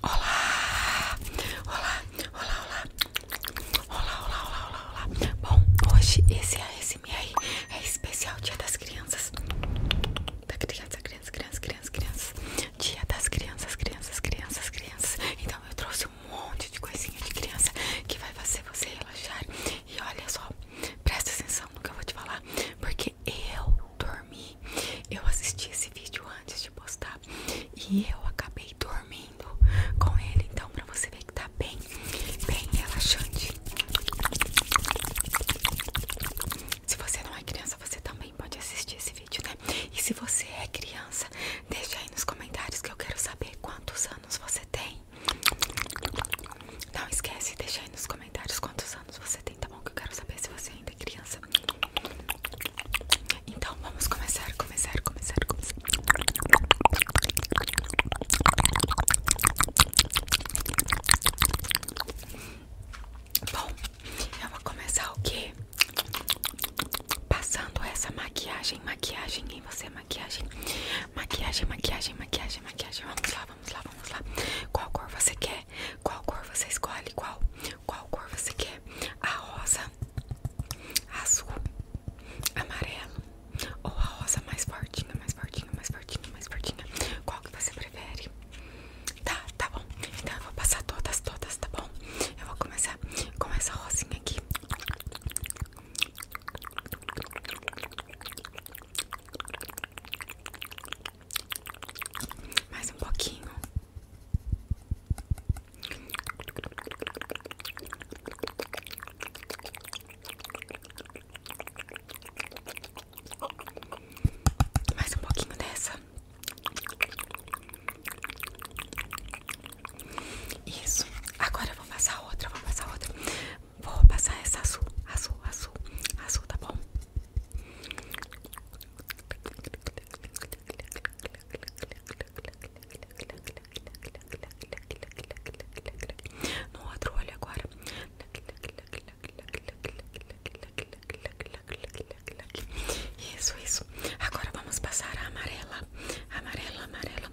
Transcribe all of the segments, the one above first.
Olá! Olá! Olá, olá! Olá, olá, olá, olá, olá! Bom, hoje esse ASMR é especial Dia das Crianças. Da criança, crianças, crianças, criança, crianças. Dia das crianças, crianças, crianças, crianças. Então eu trouxe um monte de coisinha de criança que vai fazer você relaxar. E olha só, presta atenção nunca vou te falar, porque eu dormi. Eu assisti esse vídeo antes de postar e eu acabei dormindo com ele. Então, pra você ver que tá bem, bem relaxante. Se você não é criança, você também pode assistir esse vídeo, né? E se você é criança, deixa aí nos comentários que eu quero saber quantos anos você tem. Não esquece, deixa aí nos comentários comentários quantos anos você tem, tá bom? Que eu quero saber se você ainda é criança. Então vamos começar, começar, começar, começar. Bom, eu vou começar o quê? Passando essa maquiagem, maquiagem em você, maquiagem, maquiagem, maquiagem, maquiagem, maquiagem. Vamos lá, vamos lá, vamos lá. Qual cor você quer? Qual cor você escolhe? Qual? Qual cor você quer? A rosa, azul, amarelo ou a rosa mais fortinha, mais fortinha, mais fortinha, mais fortinha? Qual que você prefere? Tá, tá bom. Então eu vou passar todas, todas, tá bom? Eu vou começar com essa rosinha aqui. Mais um pouquinho. Mais um pouquinho dessa. Isso. Agora eu vou passar outra, vou passar outra. Vou passar essa azul, azul, azul, azul, tá bom? No outro olho agora. Isso, isso. Agora vamos passar a amarela. Amarela, amarela.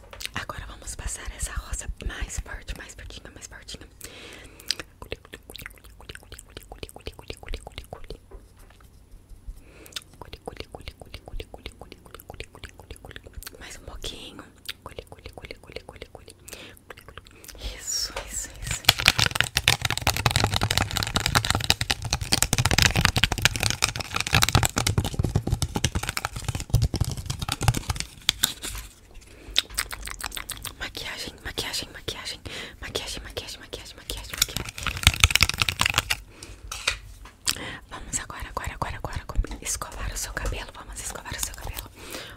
Agora vamos passar essa rosa mais forte, mais fortinha, mais fortinha. Mais um pouquinho. Isso, isso, isso. Maquiagem, maquiagem, maquiagem, maquiagem, maquiagem, maquiagem, maquiagem, Vamos agora, agora, agora, agora escovar o seu cabelo. Vamos escovar o seu cabelo.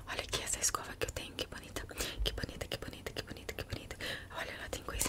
Olha aqui essa escova que eu tenho, que bonita, que bonita, que bonita, que bonita, que bonita. Olha, ela tem coisa.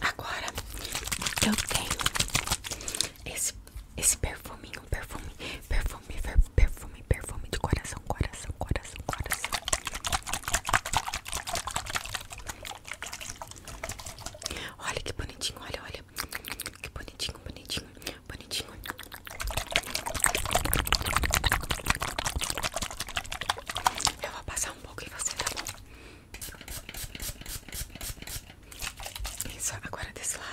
Agora eu tenho esse, esse perfuminho, perfume, perfume, perfume, perfume de coração, coração, coração, coração. Olha que bonitinho, olha, olha. Que bonitinho, bonitinho, bonitinho. Eu vou passar um pouco e você, tá bom? Isso, agora desse lado.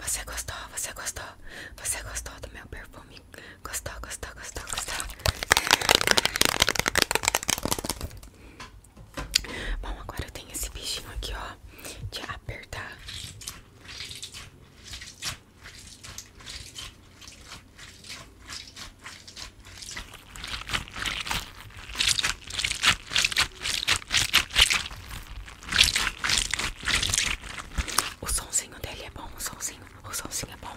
Você gostou? Você gostou? Você gostou do meu perfume? Gostou, gostou, gostou, gostou? Bom, agora eu tenho esse bichinho aqui, ó, de apertar. O somzinho dele é bom, o somzinho, o somzinho é bom.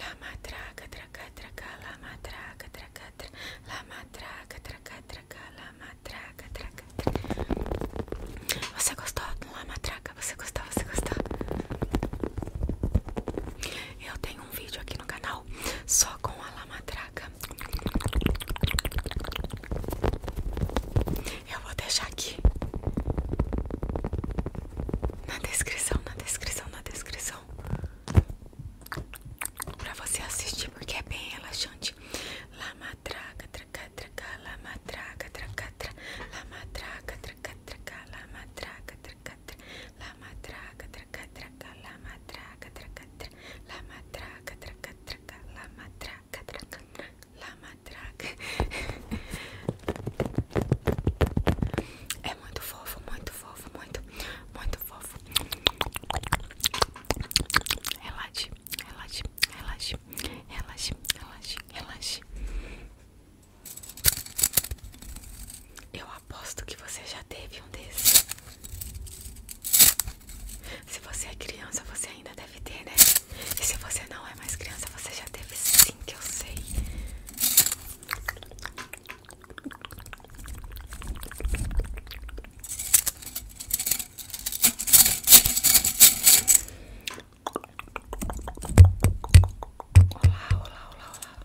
Lamatraca, traca, traca, lamatraca, traca, traca, lamatraca, traca, traca, lamatraca, traca, traca. Você gostou do lamatraca? Você gostou? Você gostou? Eu tenho um vídeo aqui no canal só com a lamatraca. Eu vou deixar aqui na descrição, na descrição, na descrição para você assistir porque é bem relaxante. Lama traca, traca, traca, lama traca, traca, traca, lama traca, traca, traca, lama traca, traca, traca, lama traca, traca, traca, lama traca, traca, traca, lama traca, La matraca. É muito fofo, muito fofo, muito, muito fofo. Relaxe, relaxe, relaxe, relaxe, relaxe, relaxe. Eu aposto que você já teve um desses. Se você é criança, você ainda deve ter, né? E se você não é mais criança, você já teve sim, que eu sei. Olá, olá, olá, olá.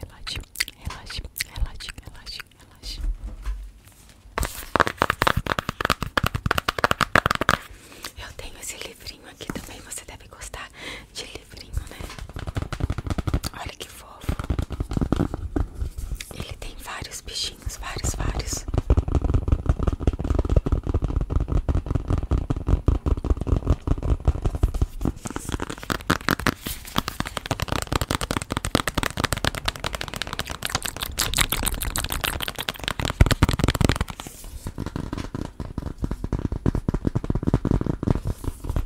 Relaxe, relaxe, relaxe, relaxe, relaxe. Eu tenho esse livrinho aqui também, você deve gostar de livrinho, né? Olha que fofo. Ele tem vários bichinhos, vários, vários.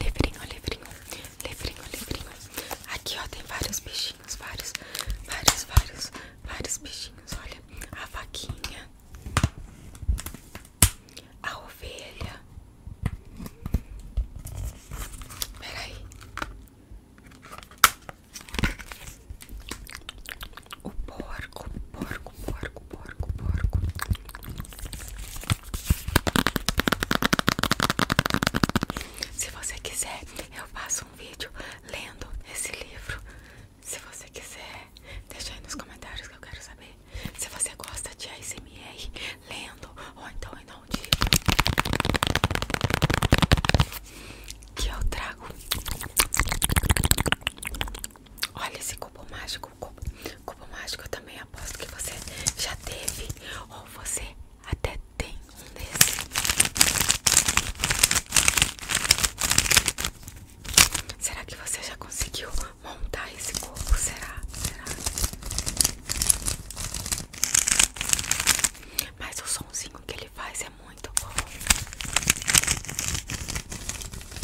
Livrinho, livrinho, livrinho, livrinho. Aqui ó, tem vários bichinhos, vários, vários, vários, vários bichinhos. Olha, a vaquinha, a ovelha. Peraí o porco, porco, porco, porco, porco. Se você quiser, eu faço um vídeo lendo esse livro. Se você quiser, deixa aí nos comentários que eu quero saber. Se você gosta de ASMR, lendo ou então em um dia que eu trago Olha esse cubo mágico. Cubo, mágico eu também aposto que você já teve. Ou você até tem um desse. Será que você já conseguiu montar esse cubo? Será? Será? Mas o somzinho que ele faz é muito bom.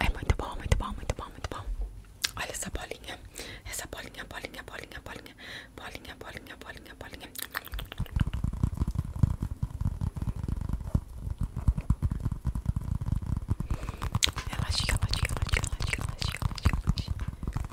É muito bom, muito bom, muito bom, muito bom. Olha essa bolinha. Essa bolinha, bolinha, bolinha, bolinha. Bolinha, bolinha, bolinha, bolinha. Relaxa, relaxa, relaxa, relaxa, relaxa, relaxa.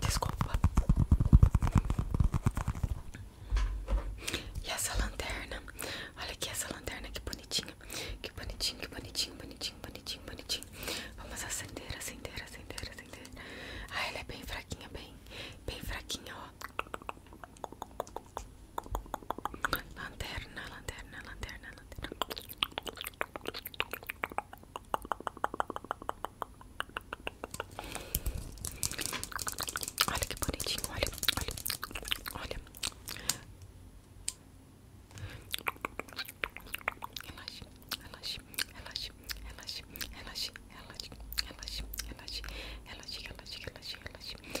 Desculpa. E essa lanterna? Olha aqui essa lanterna, que bonitinha. Que bonitinho, que bonitinho, bonitinho, bonitinho, bonitinho. Vamos acender, acender, acender, acender. Ah, ela é bem fraquinha, bem, bem fraquinha, ó. Lanterna, lanterna, lanterna, lanterna. Olha que bonitinho, olha, olha, olha. Relaxe, relaxe, relaxe, relaxe, relaxe, relaxe, relaxe, relaxe, relaxe, relaxe, relaxe, relaxe, relaxe.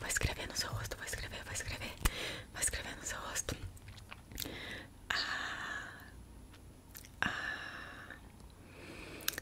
Vai escrever no seu rosto, vai escrever, vai escrever, vai escrever no seu rosto. Ah, ah,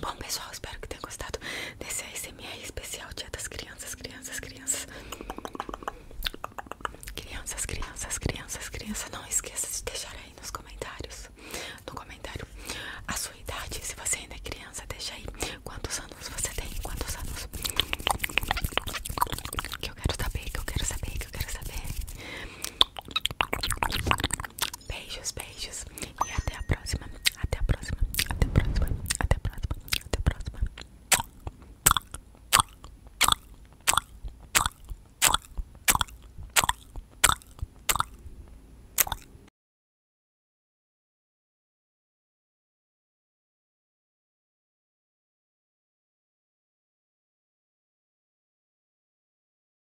Bom pessoal, espero que tenham gostado desse ASMR especial Dia das Crianças, Crianças, Crianças Crianças, Crianças, Crianças, Crianças Não esqueça de deixar aí nos comentários No comentário a sua idade, se você ainda é criança, deixa aí Quantos anos você tem, quantos anos Que eu quero saber, que eu quero saber, que eu quero saber Beijos, beijos. E até a próxima. Até a próxima. Até a próxima. Até a próxima. Até a próxima.